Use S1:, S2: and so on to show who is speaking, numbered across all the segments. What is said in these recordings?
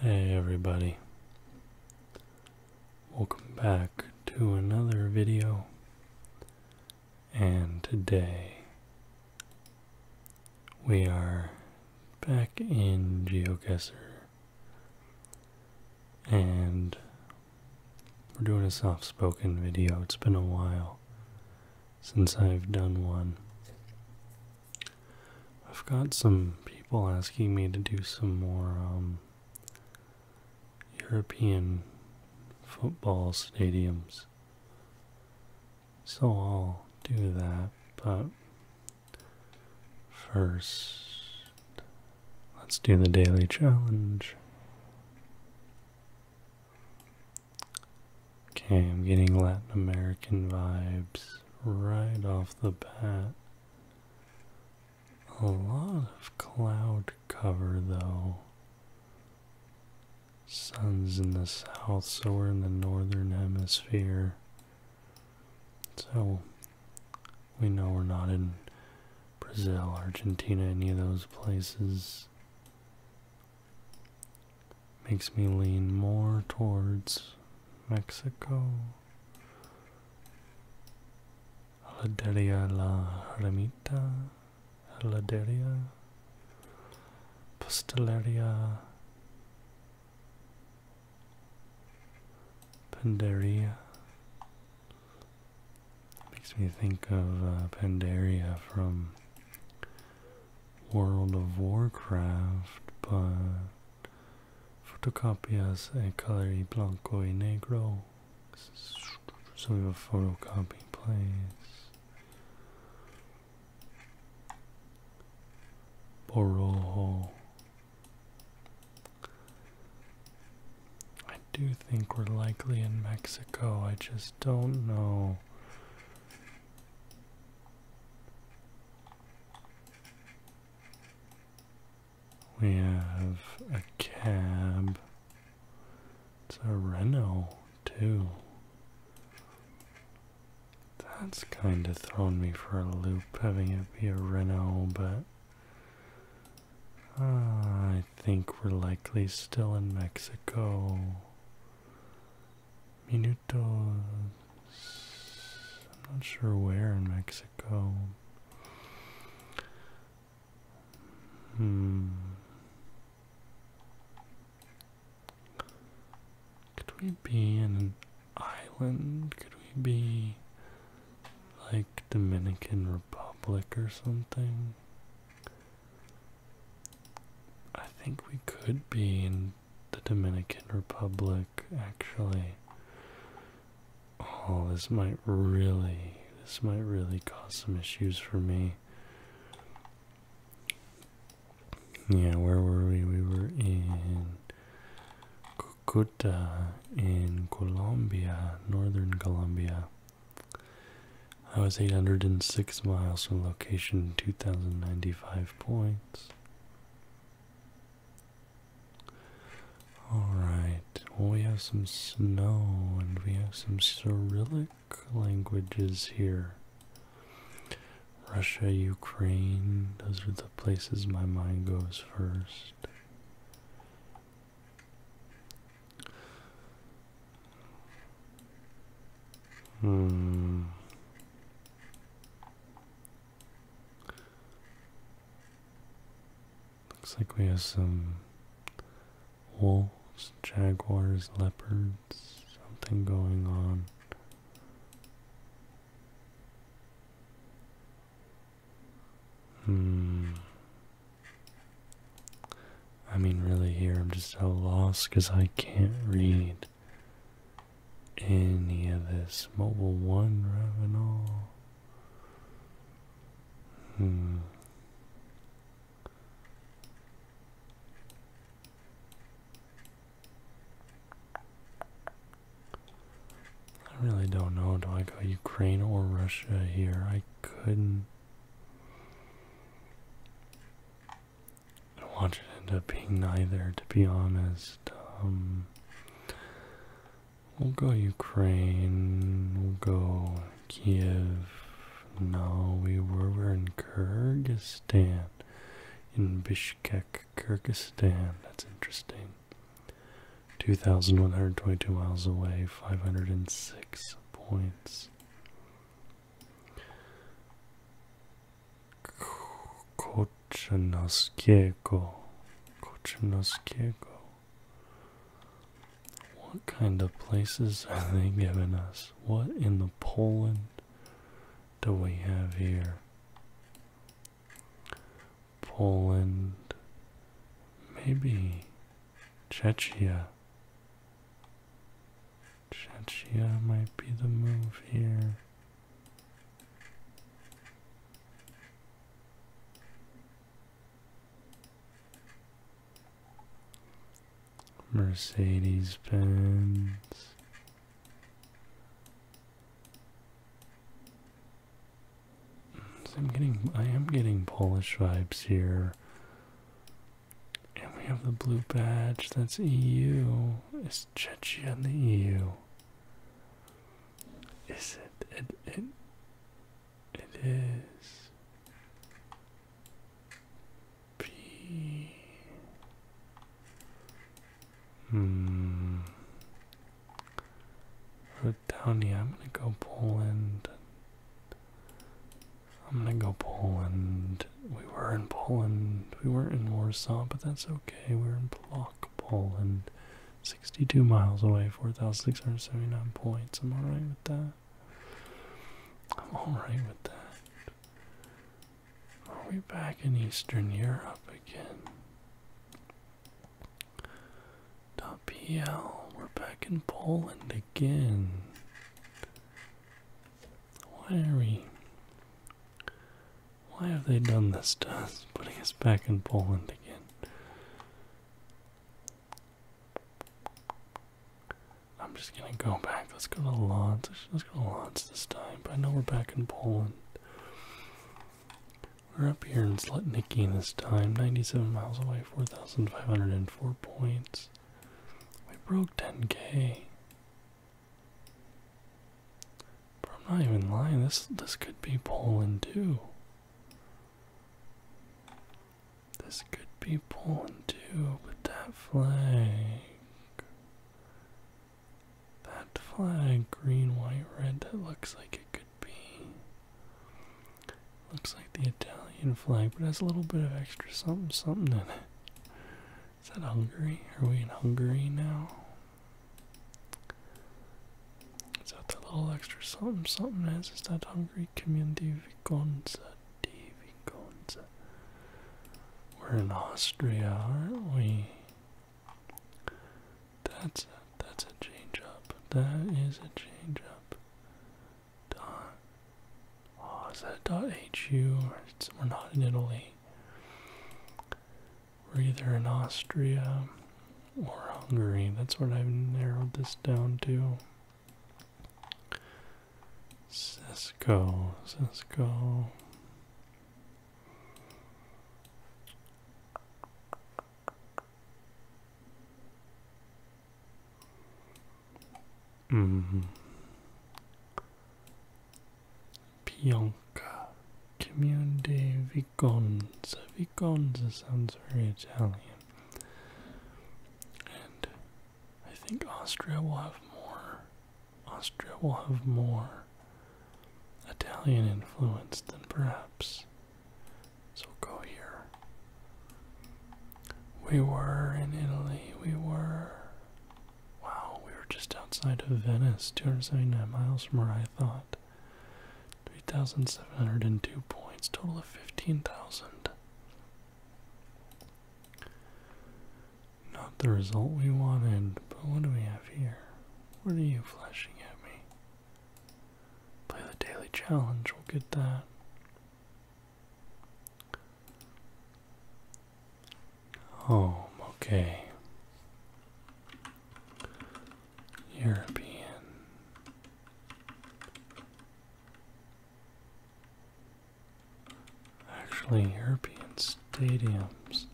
S1: Hey everybody, welcome back to another video, and today we are back in GeoGuessr and we're doing a soft spoken video. It's been a while since I've done one. I've got some people asking me to do some more um, European football stadiums. So I'll do that, but first, let's do the daily challenge. Okay, I'm getting Latin American vibes right off the bat. A lot of cloud cover though. Sun's in the south, so we're in the northern hemisphere. So we know we're not in Brazil, Argentina, any of those places makes me lean more towards Mexico. Laderia La Remita, Laderia, Pasteleria, Pandaria. Makes me think of uh, Pandaria from World of Warcraft, but Fotocopias color colori blanco e negro. So we have a photocopy place. Boroho. I do think we're likely in Mexico, I just don't know. We have a cab. It's a Renault, too. That's kind of thrown me for a loop having it be a Renault, but uh, I think we're likely still in Mexico. Minutos. I'm not sure where in Mexico. Hmm. Could we be in an island? Could we be like Dominican Republic or something? I think we could be in the Dominican Republic, actually. Oh, this might really, this might really cause some issues for me. Yeah, where were we? We were in Cucuta in Colombia, northern Colombia. I was 806 miles from location 2095 points. Alright, well, we have some snow and we have some Cyrillic languages here. Russia, Ukraine, those are the places my mind goes first. Hmm. Looks like we have some wolves, jaguars, leopards, something going on. Hmm. I mean, really, here I'm just a loss because I can't read any of this Mobile One revenue. Hmm. I really don't know. Do I go Ukraine or Russia here? I couldn't. I want it to end up being neither, to be honest. Um, we'll go Ukraine. We'll go Kiev. Now we were we're in Kyrgyzstan, in Bishkek, Kyrgyzstan. That's interesting. 2,122 miles away, 506 points. Kochinoskiego. Kochinoskiego. What kind of places are they giving us? What in the Poland do we have here? Poland. Maybe Czechia. Czechia might be the move here. Mercedes Benz. I'm getting, I am getting Polish vibes here. And we have the blue badge, that's EU. It's Chechnya in the EU? Is it? It, it, it is. P. Hmm. Put down here. I'm gonna go Poland. I'm gonna go Poland. We were in Poland. We weren't in Warsaw, but that's okay. We we're in Plock. Poland, 62 miles away, 4,679 points. I'm alright with that. I'm alright with that. Are we back in Eastern Europe again? PL, we're back in Poland again. Why are we why have they done this to us? Putting us back in Poland again. I'm just gonna go back. Let's go to launch. Let's go to launch this time. But I know we're back in Poland. We're up here in Slutniki this time. 97 miles away, 4,504 points. We broke 10k. But I'm not even lying, this this could be Poland too. This could be Poland too, but that flag that flag, green, white, red, that looks like it could be. Looks like the Italian flag, but has a little bit of extra something something in it. Is that Hungary? Are we in Hungary now? Is that the little extra something something else? Is that hungry community Viconza de Viconza? We're in Austria, aren't we? That's a, that's a change up. That is a change up. Dot. Oh, is that dot .hu? we're not in Italy. We're either in Austria or Hungary. That's what I've narrowed this down to. Cesco. Cisco. Mm. Pionka Community Viconza. Viconza sounds very Italian. And I think Austria will have more. Austria will have more Italian influence than perhaps. So go here. We were in Italy. We were. Wow, we were just outside of Venice, 279 miles from where I thought. 3,702 points, total of 15,000. Not the result we wanted, but what do we have here? What are you flashing at me? Play the daily challenge, we'll get that. Oh, okay. European. Actually, European stadiums.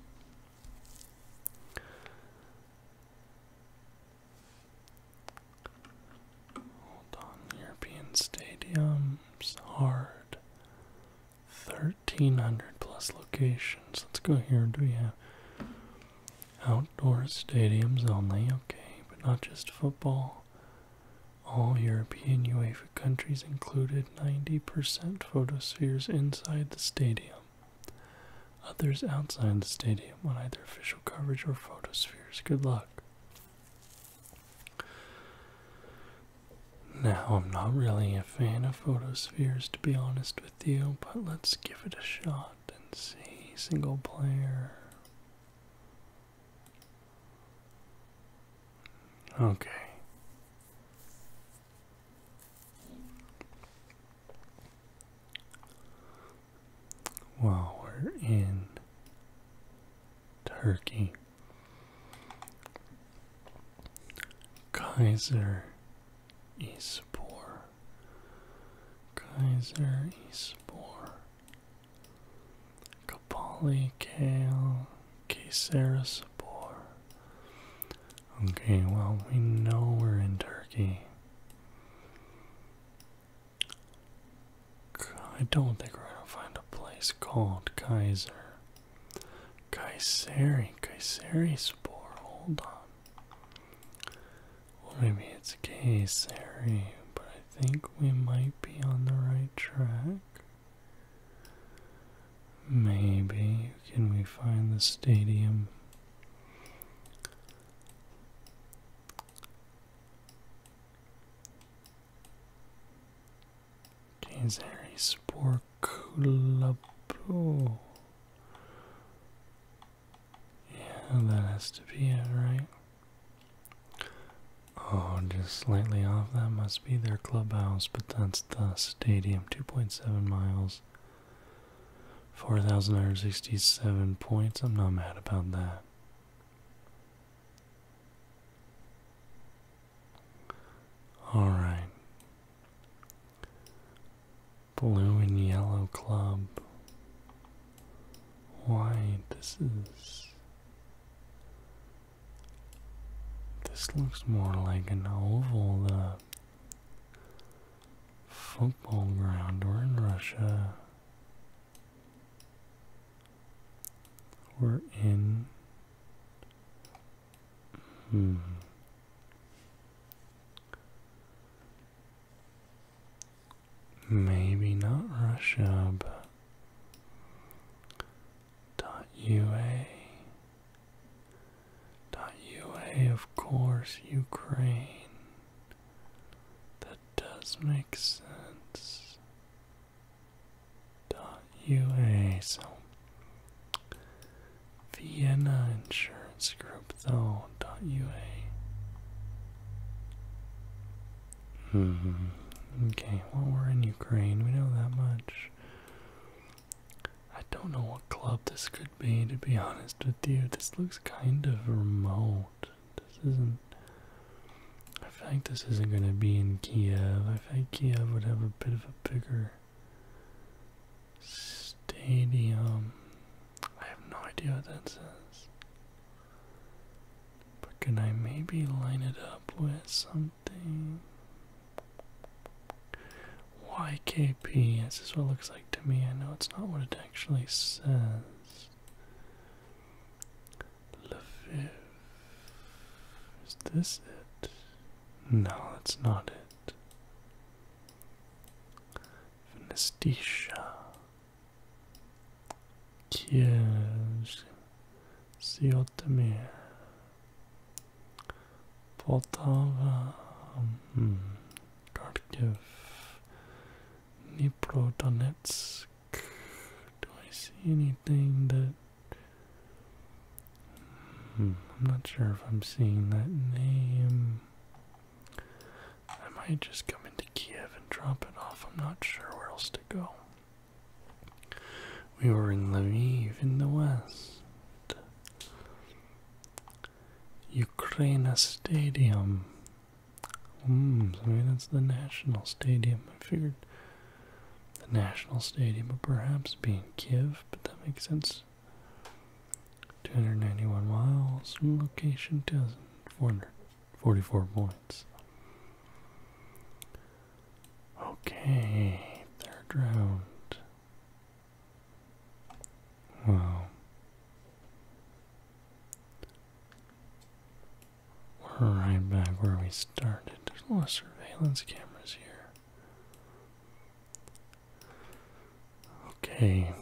S1: Hold on, European stadiums, hard. 1300 plus locations. Let's go here. Do we have Outdoor stadiums only, okay, but not just football. All European UEFA countries included 90% photospheres inside the stadium, others outside the stadium want either official coverage or photospheres. Good luck. Now, I'm not really a fan of photospheres, to be honest with you, but let's give it a shot and see. Single player. Okay. While we're in Turkey, Kaiser is poor. Kaiser Espor, Kapali Kale, Kaysera Spore. Okay, well, we know we're in Turkey. I don't think we're gonna find a place called Kaiser. Kaiseri, Kayseri Spore, hold on. Well, maybe it's a case, but I think we might be on the right track. Maybe can we find the stadium? Kings Harry Sport Club. Oh. Yeah, that has to be it, right? Oh, just slightly off. That must be their clubhouse, but that's the stadium. 2.7 miles, 4,967 points. I'm not mad about that. Alright. Blue and yellow club. Why? This is. This looks more like an oval, the football ground. We're in Russia. We're in. Hmm. Maybe not Russia, dot UA. Dot UA, of course, Ukraine. That does make sense. Dot UA, so Vienna Insurance Group, though, UA. hmm. Okay, well, we're in Ukraine. We know that much. I don't know what club this could be, to be honest with you. This looks kind of remote. This isn't. I think this isn't going to be in Kiev. I think Kiev would have a bit of a bigger stadium. I have no idea what that says. But can I maybe line it up with something? YKP, this is what it looks like to me. I know it's not what it actually says. Lviv. Is this it? No, that's not it. Venestisha, Kiev, Siotemir, Poltava, um, Kharkiv, Do I see anything that... Mm, I'm not sure if I'm seeing that name. I might just come into Kiev and drop it off. I'm not sure where else to go. We were in Lviv in the west. Ukraina Stadium. Mm, so maybe that's the national stadium. I figured the national stadium would perhaps be in Kiev, but that makes sense. 291 miles location dozen 444 points. Okay, third round. Wow. We're right back where we started. There's a lot of surveillance cameras here. Okay.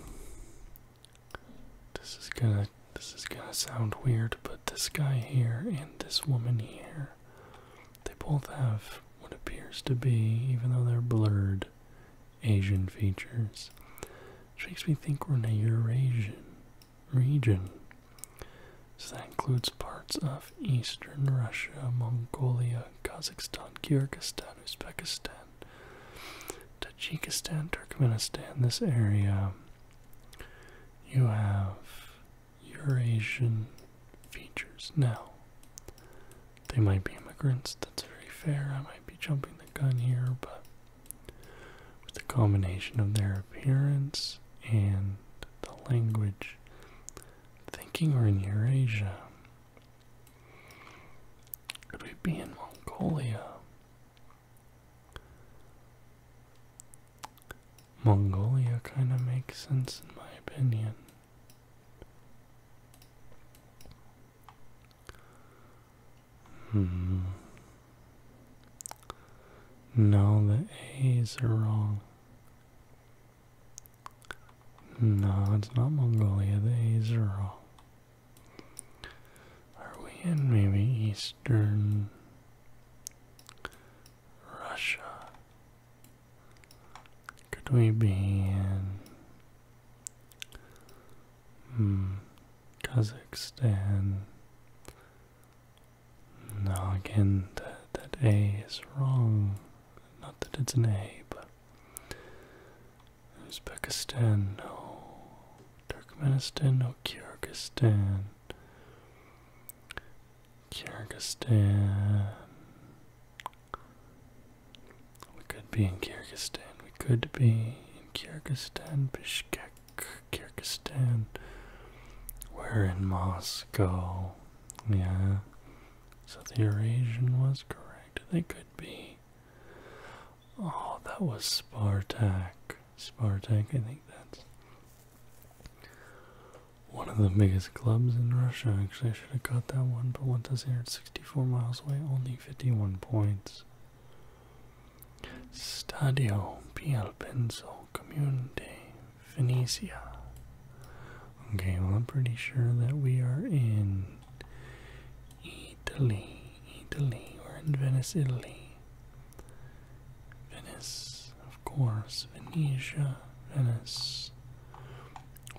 S1: This is gonna this is gonna sound weird, but this guy here and this woman here, they both have what appears to be, even though they're blurred, Asian features. Which makes me think we're in a Eurasian region. So that includes parts of Eastern Russia, Mongolia, Kazakhstan, Kyrgyzstan, Uzbekistan, Tajikistan, Turkmenistan, this area, you have Eurasian features. Now, they might be immigrants, that's very fair. I might be jumping the gun here, but with the combination of their appearance and the language, thinking we're in Eurasia, could we be in Mongolia? Mongolia kind of makes sense in my opinion. Hmm. No, the A's are wrong. No, it's not Mongolia. The A's are wrong. Are we in maybe Eastern Russia? Could we be in hmm, Kazakhstan? No, again, that, that A is wrong. Not that it's an A, but Uzbekistan, no. Turkmenistan, no. Kyrgyzstan. Kyrgyzstan. We could be in Kyrgyzstan. We could be in Kyrgyzstan, Bishkek, Kyrgyzstan. We're in Moscow. Yeah. So the Eurasian was correct. They could be Oh, that was Spartak. Spartak, I think that's one of the biggest clubs in Russia. Actually, I should have got that one, but what does here? 64 miles away, only 51 points. Stadio Pialpenso Community, Venecia. Okay, well, I'm pretty sure that we are in Italy, Italy. We're in Venice, Italy. Venice, of course. Venetia, Venice.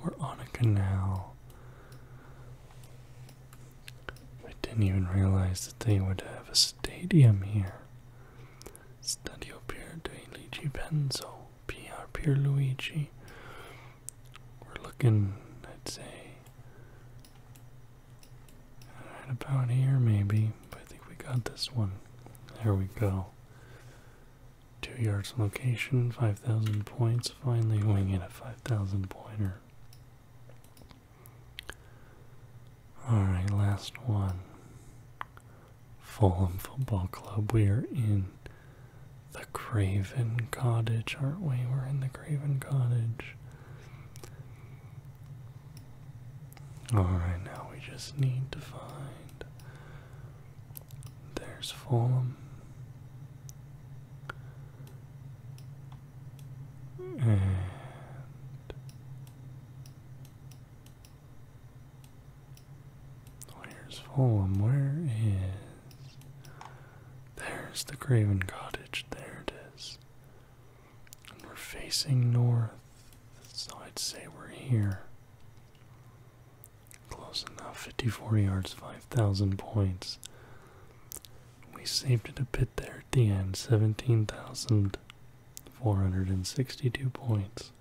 S1: We're on a canal. I didn't even realize that they would have a stadium here. Stadio Pierluigi Benzo, PR Pierluigi. We're looking, I'd say, Right about here, maybe. I think we got this one. There we go. Two yards location, 5,000 points. Finally, wing in a 5,000 pointer. Alright, last one. Fulham Football Club. We are in the Craven Cottage, aren't we? We're in the Craven Cottage. Alright, now we just need to find. There's Fulham. And. Where's Fulham? Where is there's the Craven Cottage. There it is. And we're facing north, so I'd say we're here. Close enough. 54 yards, 5,000 points. We saved it a bit there at the end. 17,462 points.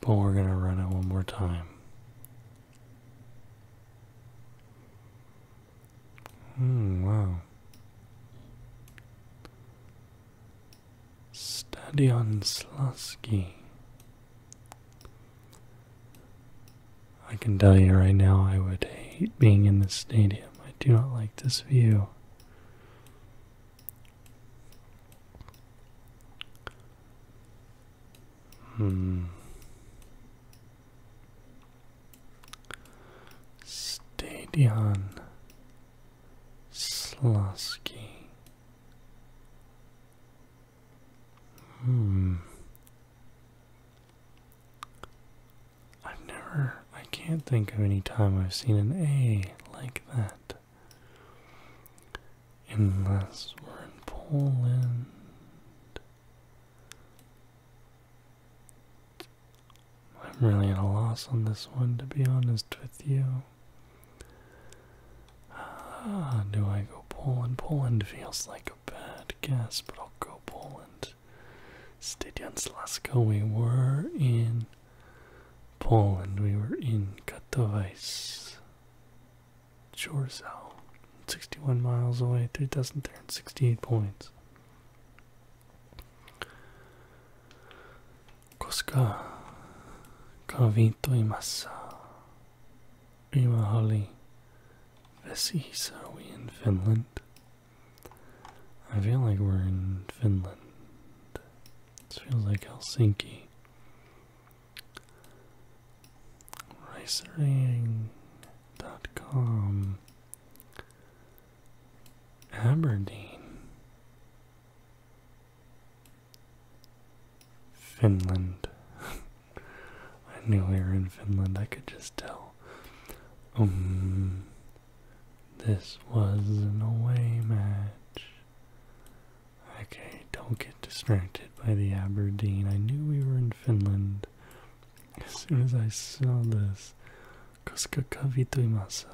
S1: But we're going to run it one more time. Hmm, wow. Stadion Slusky. I can tell you right now, I would hate being in this stadium. I do not like this view. Hmm. Stadion Slosky. Hmm. I've never, I can't think of any time I've seen an A like that. Unless we're in Poland. I'm really at a loss on this one, to be honest with you. Ah, do I go Poland? Poland feels like a bad guess, but I'll go Poland. Stadion Slasko, we were in Poland, we were in Katowice. Chorzal, 61 miles away, 3,368 points. Koska, Kavinto imasa, Imahali, we in Finland? I feel like we're in Finland. It feels like Helsinki. Racering.com Aberdeen Finland. I knew we were in Finland, I could just tell. Um this was an away match. Okay, don't get distracted by the Aberdeen. I knew we were in Finland. As soon as I saw this, koska kavituimasa,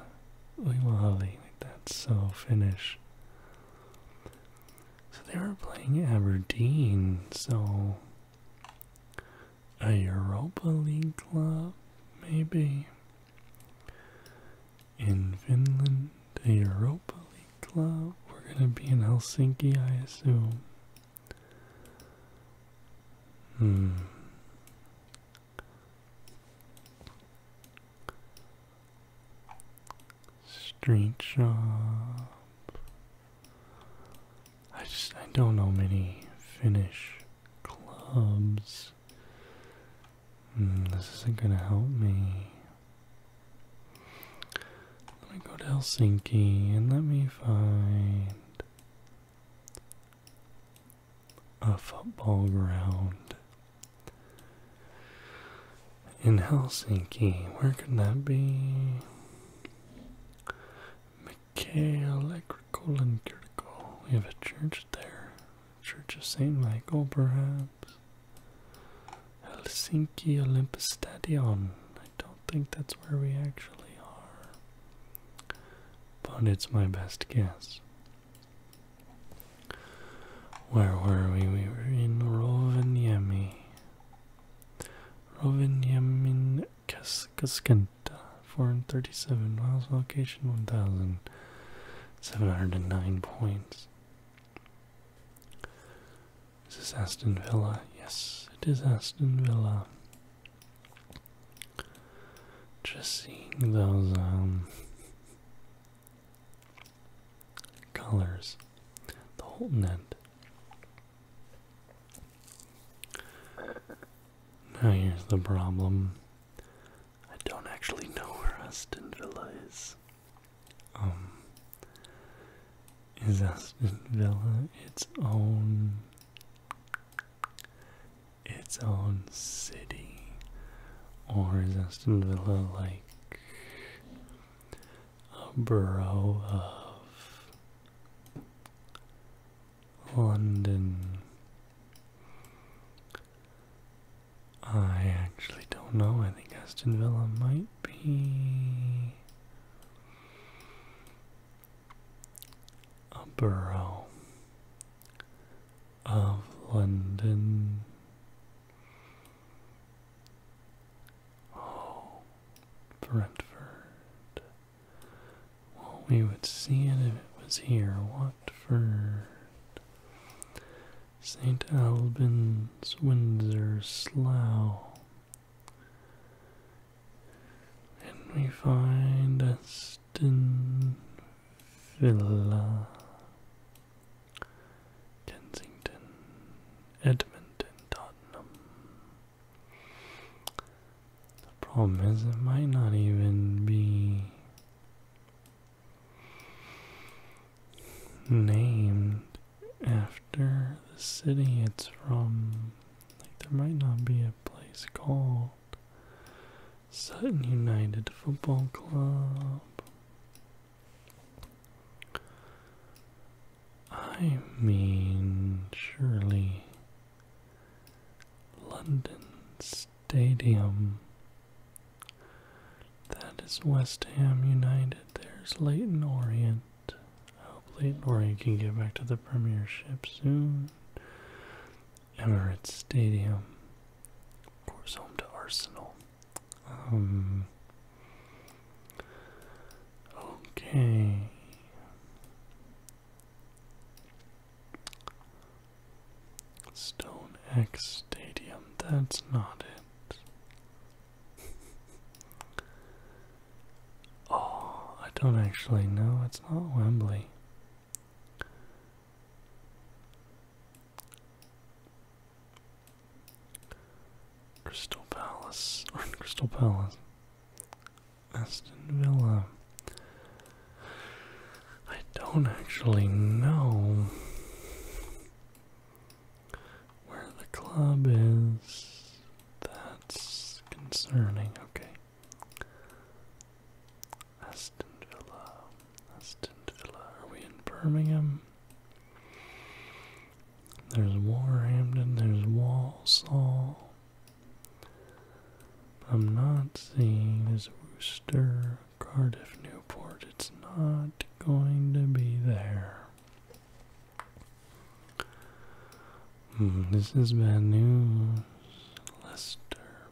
S1: uimahali, like that's so Finnish. So they were playing Aberdeen, so a Europa League club, maybe. In Finland, a Europa League club. We're gonna be in Helsinki, I assume. Hmm. Street shop. I just I don't know many Finnish clubs. Hmm, this isn't gonna help me. Let me go to Helsinki and let me find a football ground in Helsinki. Where could that be? Mikhail We have a church there. Church of St. Michael, perhaps. Helsinki Olympus Stadion. I don't think that's where we actually are. But it's my best guess. Where were we? We were in Rovaniemi. Rovaniemi Kaskanta, 437 miles, location 1,709 points. Is this Aston Villa? Yes, it is Aston Villa. Just seeing those um, colors. The Holton end. Now here's the problem. I don't actually know where Aston Villa is. Um is Aston Villa its own its own city? Or is Aston Villa like a borough of London? I actually don't know. I think Aston Villa might be a borough of London. Oh, Brentford. Well, we would see it if it was here. Watford. St. Albans, Windsor, Slough, and we find Aston Villa, Kensington, Edmonton, Tottenham. The problem is, it might not even be named after the city it's from. Like, there might not be a place called Sutton United Football Club. I mean, surely London Stadium. That is West Ham United. There's Leighton Orient. Hopefully Norway can get back to the Premiership soon. Emirates Stadium. Of course, home to Arsenal. Um, okay. Stone X Stadium. That's not it oh, I don't actually know. It's not Wembley. Crystal Palace. Or Crystal Palace. Aston Villa. I don't actually know where the club is. That's concerning. Okay. Aston Villa. Aston Villa. Are we in Birmingham? There's Warhampton. There's Walsall. I'm not seeing this Worcester, Cardiff, Newport. It's not going to be there. Hmm, this is bad news. Leicester,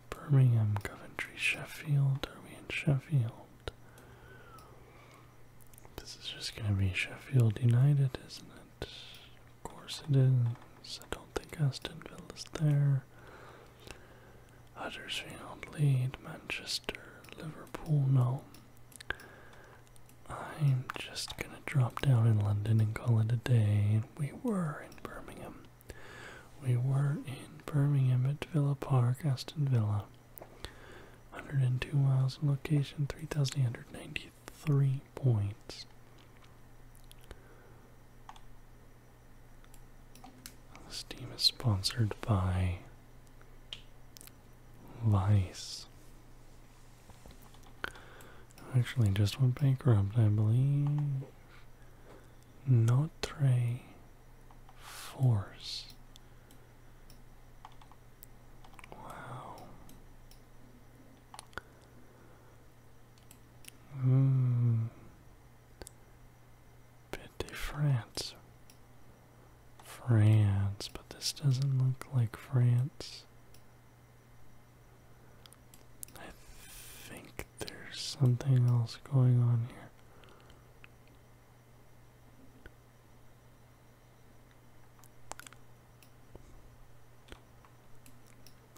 S1: Birmingham, Coventry, Sheffield. Are we in Sheffield? This is just going to be Sheffield United, isn't it? Of course it is. I don't think Astonville is there. Huddersfield, Leeds, Manchester, Liverpool, no. I'm just gonna drop down in London and call it a day. We were in Birmingham. We were in Birmingham at Villa Park, Aston Villa. 102 miles in location, 3,893 points. This team is sponsored by Vice. Actually, just went bankrupt, I believe. Notre Force. Wow. Mm. Petit France. France, but this doesn't look like France. I think there's something else going on here.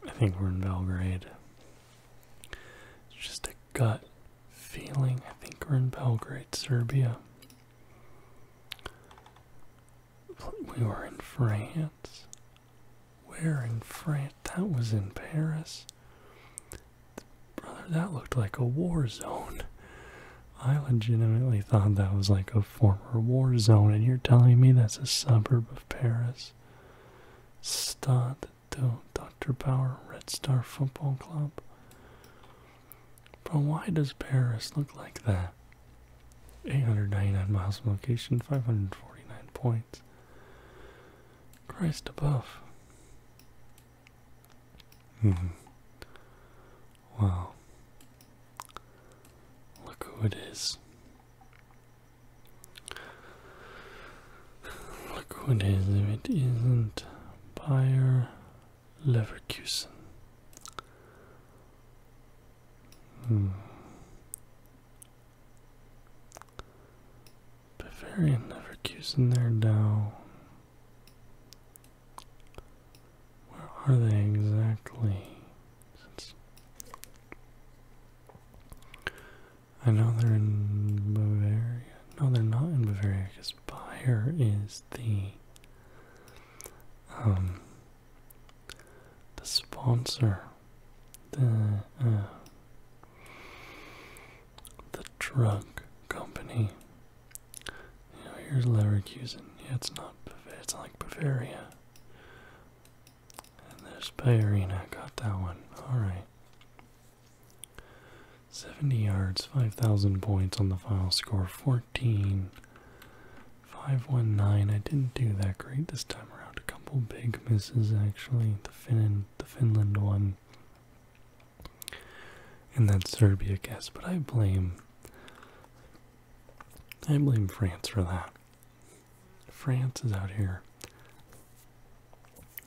S1: I think we're in Belgrade. It's just a gut feeling. I think we're in Belgrade, Serbia we were in France. Where in France? That was in Paris. Brother, that looked like a war zone. I legitimately thought that was like a former war zone, and you're telling me that's a suburb of Paris. Stade de Dr. Bauer Red Star Football Club. But why does Paris look like that? 899 miles from location, 549 points. Christ above. hmm. Wow. Look who it is. Look who it is if it isn't Bayer Leverkusen. Hmm. Bavarian never gives in there, down. Where are they exactly? Since I know they're in Bavaria. No, they're not in Bavaria because Bayer is the um the sponsor, the uh, the drug company. here's Leverkusen. Yeah, it's not It's like Bavaria. And there's Bayerina. Got that one. All right. 70 yards, 5,000 points on the final score, 14 519. I didn't do that great this time around. A couple big misses actually. The Finland, the Finland one, and that Serbia guess. But I blame. I blame France for that. France is out here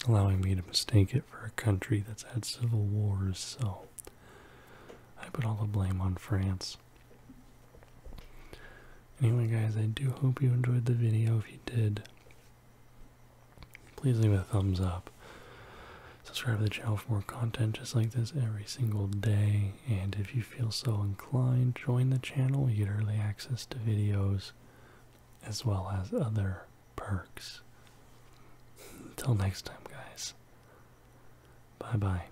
S1: allowing me to mistake it for a country that's had civil wars, so I put all the blame on France. Anyway guys, I do hope you enjoyed the video. If you did, please leave a thumbs up. Subscribe to the channel for more content just like this every single day. And if you feel so inclined, join the channel. You get early access to videos as well as other perks. Until next time guys. Bye bye.